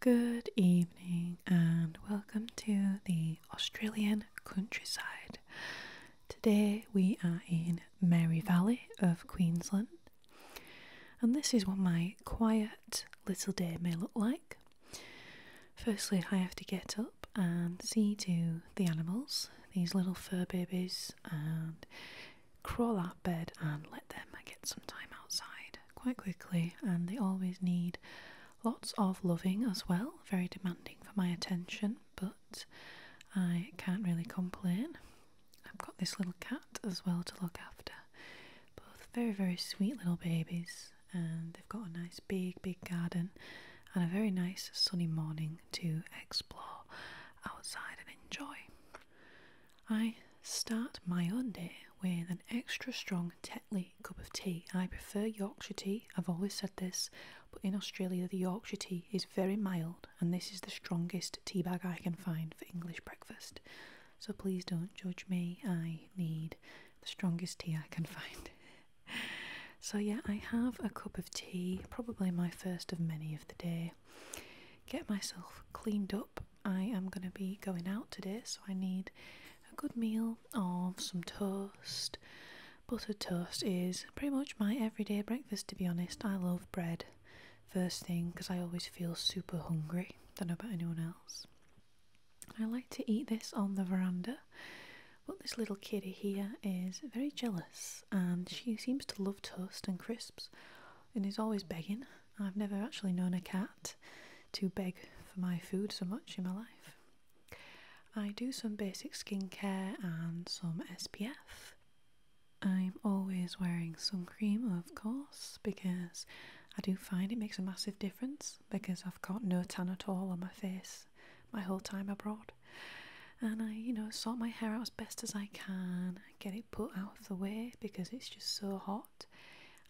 Good evening and welcome to the Australian countryside. Today we are in Mary Valley of Queensland, and this is what my quiet little day may look like. Firstly, I have to get up and see to the animals, these little fur babies, and crawl out bed and let them get some time outside quite quickly, and they always need lots of loving as well. Very demanding for my attention, but I can't really complain. I've got this little cat as well to look after. Both very, very sweet little babies, and they've got a nice big, big garden and a very nice sunny morning to explore outside and enjoy. I start my day with an extra strong Tetley cup of tea. I prefer Yorkshire tea, I've always said this, but in Australia the Yorkshire tea is very mild and this is the strongest tea bag I can find for English breakfast. So please don't judge me, I need the strongest tea I can find. so, yeah, I have a cup of tea, probably my first of many of the day. Get myself cleaned up I am going to be going out today, so I need a good meal of some toast. Buttered toast is pretty much my everyday breakfast, to be honest. I love bread first thing because I always feel super hungry. Don't know about anyone else. I like to eat this on the veranda, but this little kitty here is very jealous and she seems to love toast and crisps and is always begging I've never actually known a cat to beg for my food so much in my life. I do some basic skincare and some SPF. I'm always wearing some cream, of course, because I do find it makes a massive difference because I've got no tan at all on my face my whole time abroad. And I, you know, sort my hair out as best as I can, get it put out of the way because it's just so hot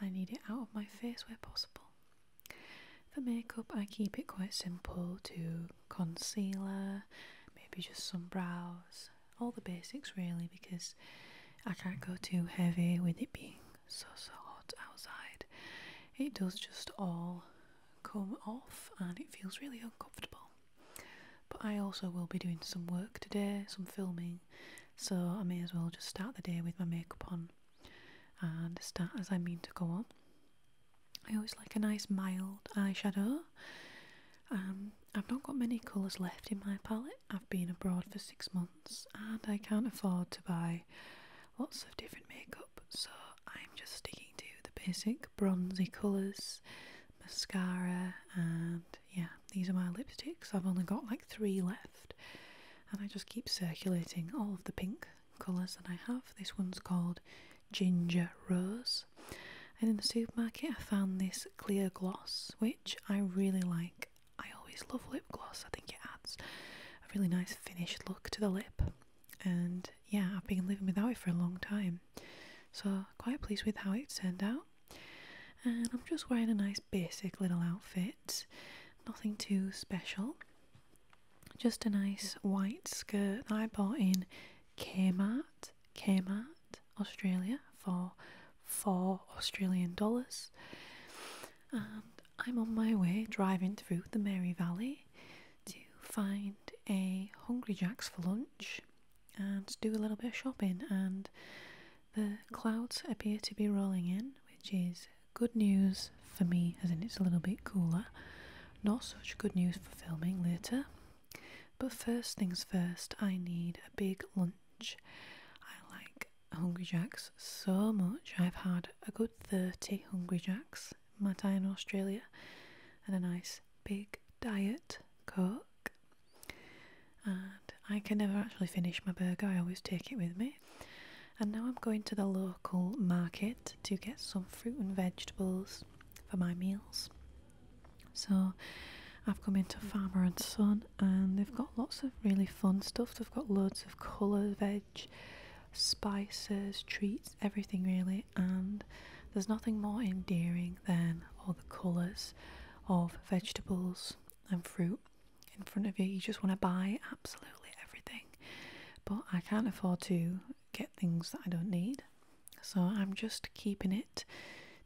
I need it out of my face where possible. For makeup, I keep it quite simple to concealer, maybe just some brows, all the basics really, because I can't go too heavy with it being so so hot outside. It does just all come off and it feels really uncomfortable. But I also will be doing some work today, some filming, so I may as well just start the day with my makeup on and start as I mean to go on. I always like a nice mild eyeshadow. Um, I've not got many colours left in my palette. I've been abroad for six months and I can't afford to buy lots of different makeup, so I'm just sticking to the basic bronzy colours, mascara, and yeah, these are my lipsticks. I've only got like three left, and I just keep circulating all of the pink colours that I have. This one's called Ginger Rose, and in the supermarket I found this clear gloss, which I really like. I always love lip gloss, I think it adds a really nice finished look to the lip, and yeah, I've been living without it for a long time. So, quite pleased with how it turned out and I'm just wearing a nice basic little outfit, nothing too special. Just a nice white skirt that I bought in Kmart, Kmart, Australia for four Australian dollars. And I'm on my way driving through the Mary Valley to find a Hungry Jack's for lunch and do a little bit of shopping. And the clouds appear to be rolling in, which is good news for me, as in it's a little bit cooler. Not such good news for filming later. But first things first, I need a big lunch. I like Hungry Jacks so much. I've had a good 30 Hungry Jacks in my time in Australia and a nice big diet Coke and I can never actually finish my burger, I always take it with me. And now I'm going to the local market to get some fruit and vegetables for my meals. So I've come into Farmer and Son and they've got lots of really fun stuff. They've got loads of coloured veg, spices, treats, everything really. And there's nothing more endearing than all the colours of vegetables and fruit in front of you. You just want to buy absolutely everything. But I can't afford to get things that I don't need. So I'm just keeping it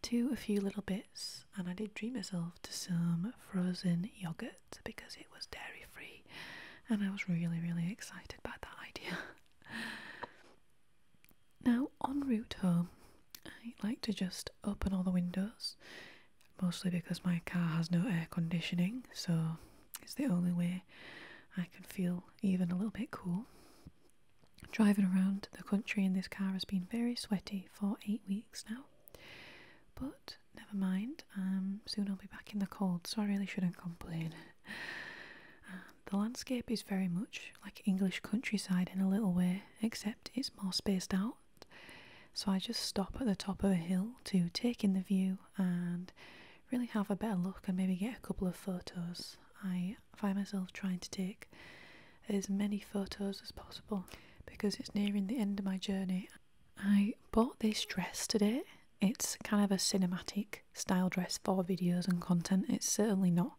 to a few little bits. And I did treat myself to some frozen yogurt because it was dairy free. And I was really, really excited about that idea. Now, en route home, I like to just open all the windows, mostly because my car has no air conditioning, so it's the only way I can feel even a little bit cool. Driving around the country in this car has been very sweaty for eight weeks now, but never mind, um, soon I'll be back in the cold, so I really shouldn't complain. Um, the landscape is very much like English countryside in a little way, except it's more spaced out. So I just stop at the top of a hill to take in the view and really have a better look and maybe get a couple of photos. I find myself trying to take as many photos as possible because it's nearing the end of my journey. I bought this dress today. It's kind of a cinematic style dress for videos and content. It's certainly not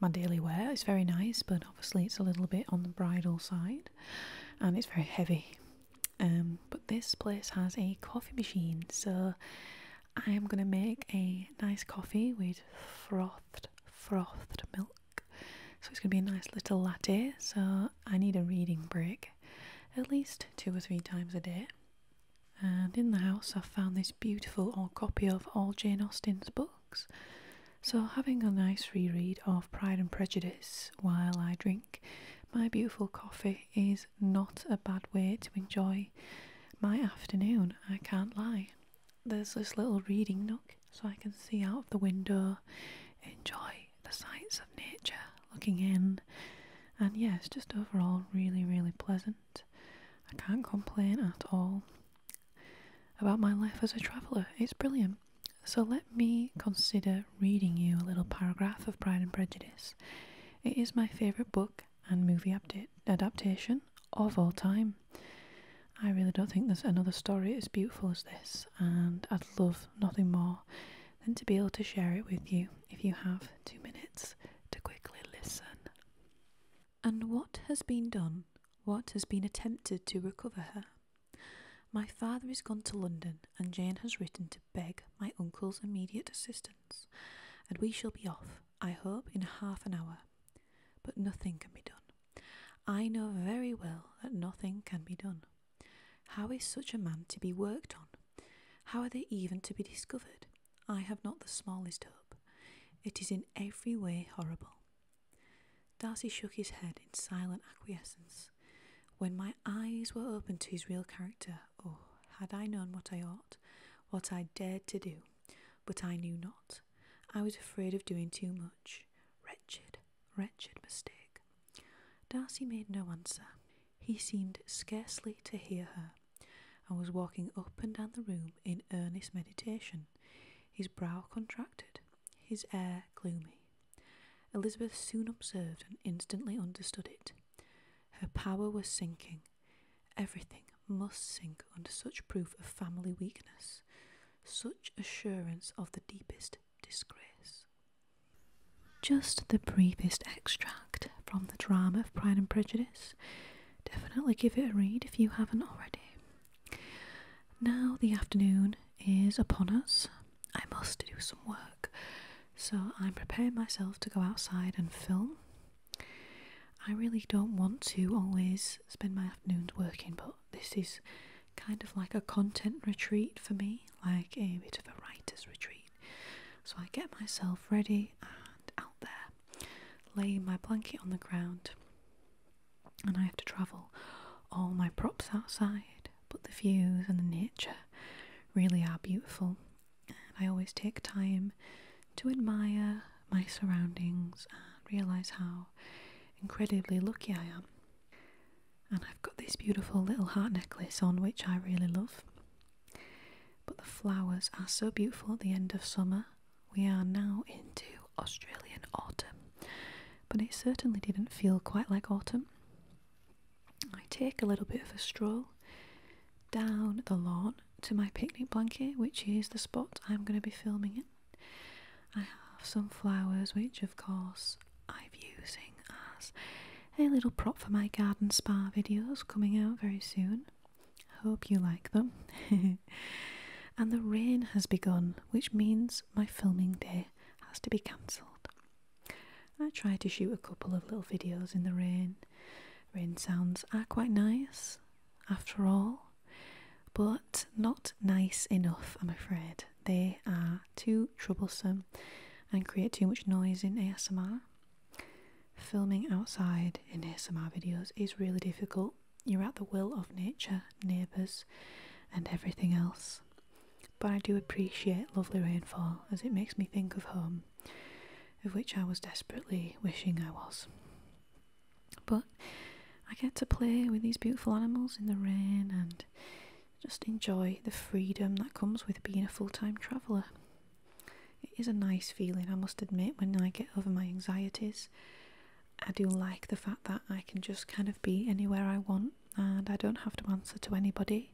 my daily wear. is very nice, but obviously it's a little bit on the bridal side and it's very heavy. Um, but this place has a coffee machine, so I am going to make a nice coffee with frothed, frothed milk. So it's going to be a nice little latte. So I need a reading break at least two or three times a day. And in the house, I found this beautiful old copy of all Jane Austen's books so, having a nice reread of Pride and Prejudice while I drink my beautiful coffee is not a bad way to enjoy my afternoon, I can't lie. There's this little reading nook so I can see out of the window, enjoy the sights of nature looking in, and yes, just overall really, really pleasant. I can't complain at all about my life as a traveller. It's brilliant. So let me consider reading you a little paragraph of Pride and Prejudice. It is my favourite book and movie adaptation of all time. I really don't think there's another story as beautiful as this, and I'd love nothing more than to be able to share it with you if you have two minutes to quickly listen. And what has been done, what has been attempted to recover her? My father is gone to London, and Jane has written to beg my uncle's immediate assistance, and we shall be off, I hope, in half an hour. But nothing can be done. I know very well that nothing can be done. How is such a man to be worked on? How are they even to be discovered? I have not the smallest hope. It is in every way horrible. Darcy shook his head in silent acquiescence. When my eyes were opened to his real character, oh, had I known what I ought, what I dared to do, but I knew not. I was afraid of doing too much. Wretched, wretched mistake. Darcy made no answer. He seemed scarcely to hear her and was walking up and down the room in earnest meditation, his brow contracted, his air gloomy. Elizabeth soon observed and instantly understood it. Her power was sinking. Everything must sink under such proof of family weakness, such assurance of the deepest disgrace. Just the briefest extract from the drama of Pride and Prejudice definitely give it a read if you haven't already. Now the afternoon is upon us. I must do some work, so I'm preparing myself to go outside and film. I really don't want to always spend my afternoons working, but this is kind of like a content retreat for me, like a bit of a writer's retreat. So I get myself ready and out there. Lay my blanket on the ground, and I have to travel all my props outside, but the views and the nature really are beautiful. And I always take time to admire my surroundings and realise how incredibly lucky I am. And I've got this beautiful little heart necklace on, which I really love. But the flowers are so beautiful at the end of summer we are now into Australian autumn, but it certainly didn't feel quite like autumn. I take a little bit of a stroll down the lawn to my picnic blanket, which is the spot I'm going to be filming in. I have some flowers, which of course I'm using as a little prop for my garden spa videos coming out very soon. Hope you like them. and the rain has begun, which means my filming day has to be cancelled. I tried to shoot a couple of little videos in the rain. Rain sounds are quite nice, after all, but not nice enough, I'm afraid. They are too troublesome and create too much noise in ASMR filming outside in ASMR videos is really difficult. You're at the will of nature, neighbours, and everything else. But I do appreciate lovely rainfall as it makes me think of home, of which I was desperately wishing I was. But I get to play with these beautiful animals in the rain and just enjoy the freedom that comes with being a full time traveller. It is a nice feeling, I must admit, when I get over my anxieties. I do like the fact that I can just kind of be anywhere I want and I don't have to answer to anybody.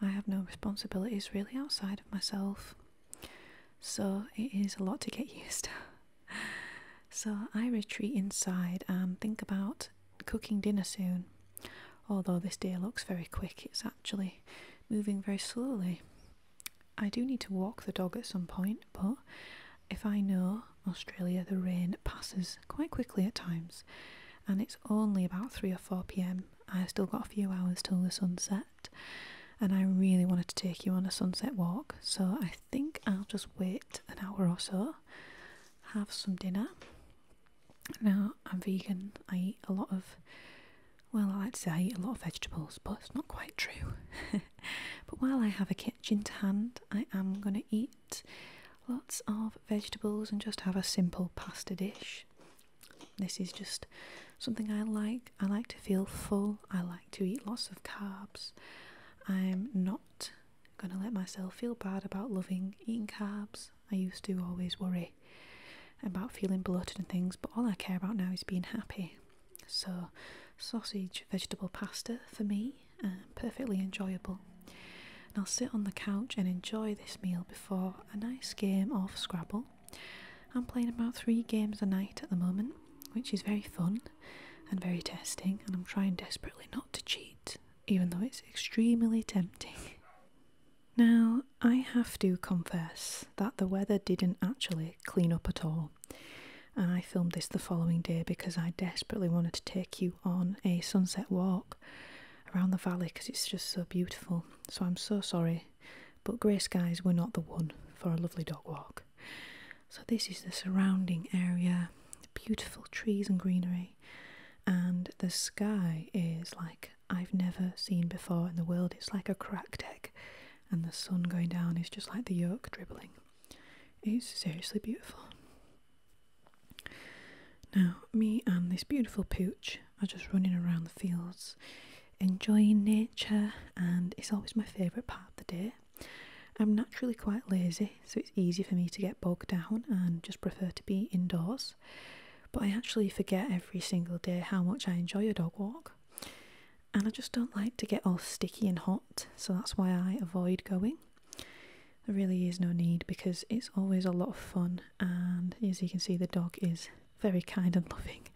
I have no responsibilities really outside of myself. So it is a lot to get used to. so I retreat inside and think about cooking dinner soon. Although this day looks very quick, it's actually moving very slowly. I do need to walk the dog at some point, but if I know Australia, the rain passes quite quickly at times, and it's only about 3 or 4 pm. I have still got a few hours till the sunset, and I really wanted to take you on a sunset walk, so I think I'll just wait an hour or so, have some dinner. Now, I'm vegan, I eat a lot of well, I like to say I eat a lot of vegetables, but it's not quite true. but while I have a kitchen to hand, I am going to eat lots of vegetables and just have a simple pasta dish. This is just something I like. I like to feel full, I like to eat lots of carbs. I'm not going to let myself feel bad about loving eating carbs. I used to always worry about feeling bloated and things, but all I care about now is being happy. So, sausage vegetable pasta for me, uh, perfectly enjoyable. And I'll sit on the couch and enjoy this meal before a nice game of Scrabble. I'm playing about three games a night at the moment, which is very fun and very testing, and I'm trying desperately not to cheat, even though it's extremely tempting. Now, I have to confess that the weather didn't actually clean up at all. And I filmed this the following day because I desperately wanted to take you on a sunset walk around the valley because it's just so beautiful. So I'm so sorry, but grey skies were not the one for a lovely dog walk. So this is the surrounding area, beautiful trees and greenery, and the sky is like I've never seen before in the world. It's like a crack deck, and the sun going down is just like the yolk dribbling. It's seriously beautiful. Now, me and this beautiful pooch are just running around the fields, enjoying nature, and it's always my favourite part of the day. I'm naturally quite lazy, so it's easy for me to get bogged down and just prefer to be indoors. But I actually forget every single day how much I enjoy a dog walk. And I just don't like to get all sticky and hot, so that's why I avoid going. There really is no need because it's always a lot of fun, and as you can see, the dog is very kind and loving.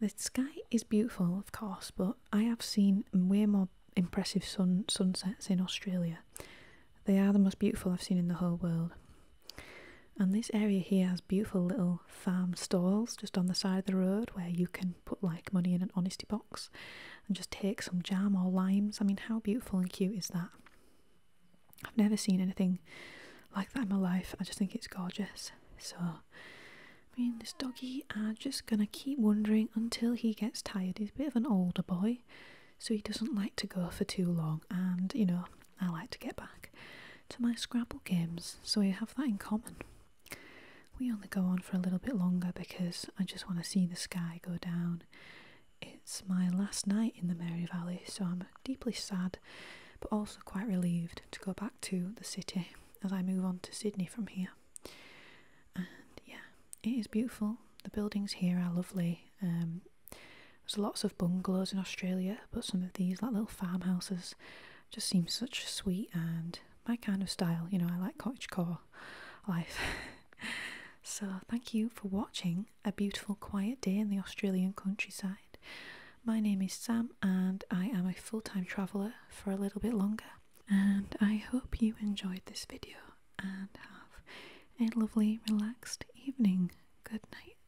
The sky is beautiful, of course, but I have seen way more impressive sun sunsets in Australia. They are the most beautiful I've seen in the whole world. And this area here has beautiful little farm stalls just on the side of the road where you can put like money in an honesty box and just take some jam or limes. I mean, how beautiful and cute is that? I've never seen anything like that in my life. I just think it's gorgeous. So, me and this doggy, are just gonna keep wandering until he gets tired. He's a bit of an older boy, so he doesn't like to go for too long. And, you know, I like to get back to my Scrabble games, so we have that in common. We only go on for a little bit longer because I just want to see the sky go down. It's my last night in the Mary Valley, so I'm deeply sad but also quite relieved to go back to the city as I move on to Sydney from here. And yeah, it is beautiful. The buildings here are lovely. Um, there's lots of bungalows in Australia, but some of these, like little farmhouses, just seem such sweet and my kind of style. You know, I like cottagecore life. so, thank you for watching A Beautiful Quiet Day in the Australian Countryside. My name is Sam, and I am a full time traveller for a little bit longer. And I hope you enjoyed this video and have a lovely, relaxed evening. Good night.